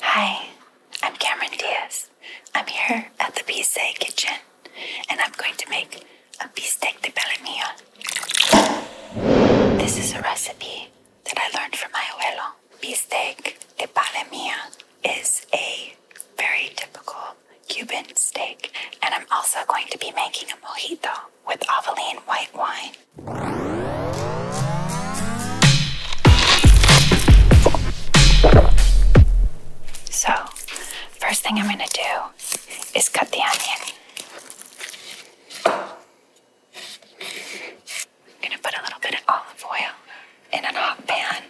Hi, I'm Cameron Diaz. I'm here at the Pizza Kitchen and I'm going to make a bistec de palomilla. This is a recipe that I learned from my abuelo. Bistec de palemia is a very typical Cuban steak and I'm also going to be making a mojito with Aveline white wine so, first thing I'm going to do is cut the onion. I'm going to put a little bit of olive oil in a hot pan.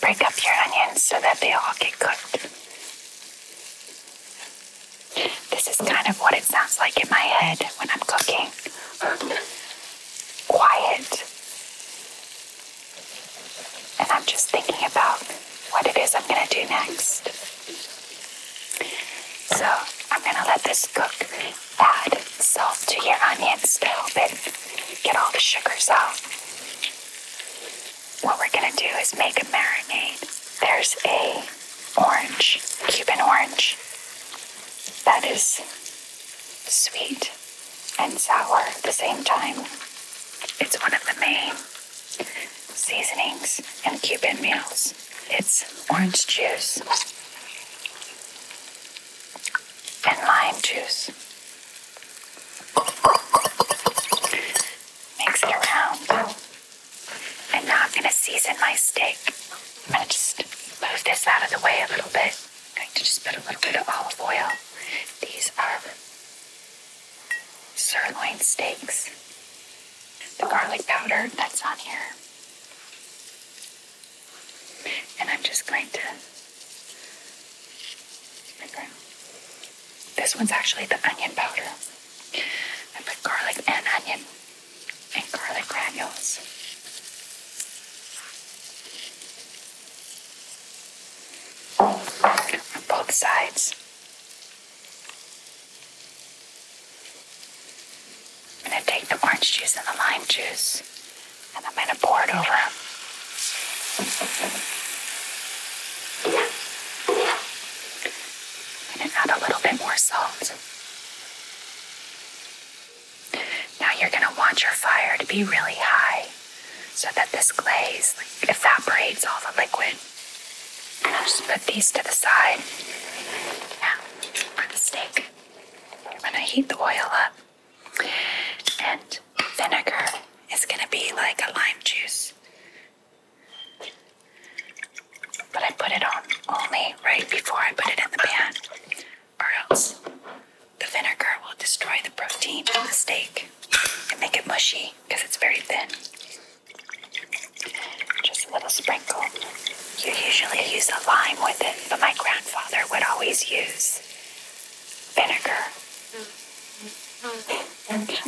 Break up your onions so that they all get cooked. This is kind of what it sounds like in my head when I'm cooking. Quiet. And I'm just thinking about what it is I'm going to do next. So I'm going to let this cook. Add salt to your onions to help it get all the sugars out what we're gonna do is make a marinade. There's a orange, Cuban orange, that is sweet and sour at the same time. It's one of the main seasonings in Cuban meals. It's orange juice and lime juice. Mix it around. I'm not going to season my steak. I'm going to just move this out of the way a little bit. I'm going to just put a little bit of olive oil. These are sirloin steaks. The garlic powder that's on here. And I'm just going to this one's actually the onion powder. I put garlic and onion and garlic granules. On both sides. I'm going to take the orange juice and the lime juice and I'm going to pour it over and add a little bit more salt. Now you're going to want your fire to be really high so that this glaze evaporates all the liquid. And I'll just put these to the side. Now, for the steak, I'm going to heat the oil up. And vinegar is going to be like a lime juice. But I put it on only right before I put it in the pan, or else the vinegar will destroy the protein in the steak and make it mushy because it's very thin. Just a little sprinkle. You usually use a lime with it, but my grandfather would always use vinegar.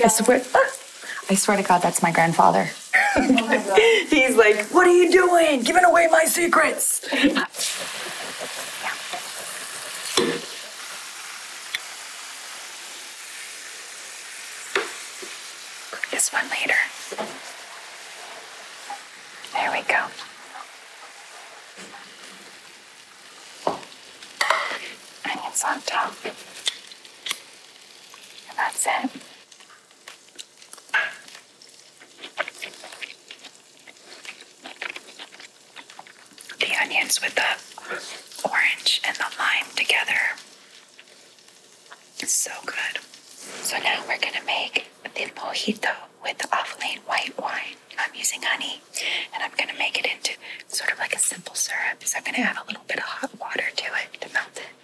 I swear, ah, I swear to God, that's my grandfather. He's like, What are you doing? Giving away my secrets. this one later. There we go. Onions on top. And that's it. The onions with the orange and the lime together. It's so good. So now we're gonna make the mojito with off-lane white wine. I'm using honey and I'm going to make it into sort of like a simple syrup. So I'm going to add a little bit of hot water to it to melt it.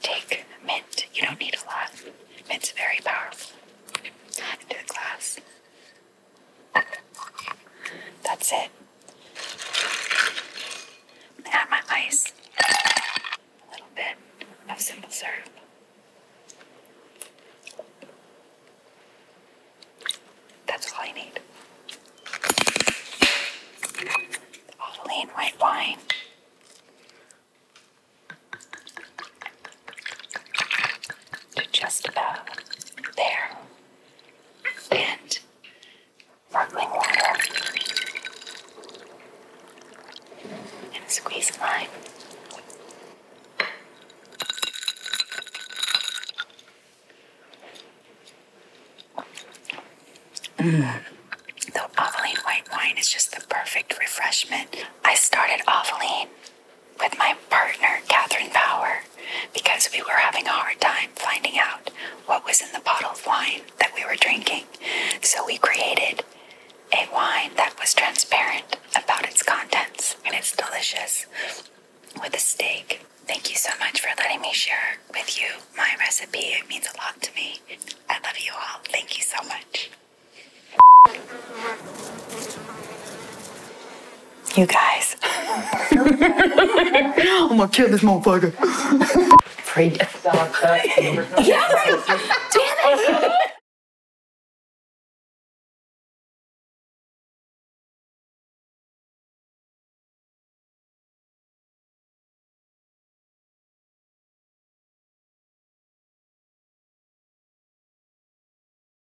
Take mint. You don't need a lot. Mint's very powerful. Into the glass. That's it. Add my ice, a little bit of simple syrup. That's all I need. Olive and white wine. To just about there. And sparkling water, and squeeze lime. Mm. The Aveline white wine is just the perfect refreshment. I started Aveline with my partner, Catherine Power, because we were having a hard time finding out what was in the bottle of wine that we were drinking. So we created a wine that was transparent about its contents, and it's delicious with a steak. Thank you so much for letting me share with you my recipe. It means a lot to me. I love you all. Thank you so much. You guys. I'm gonna kill this motherfucker. Free. yeah, right. Damn it.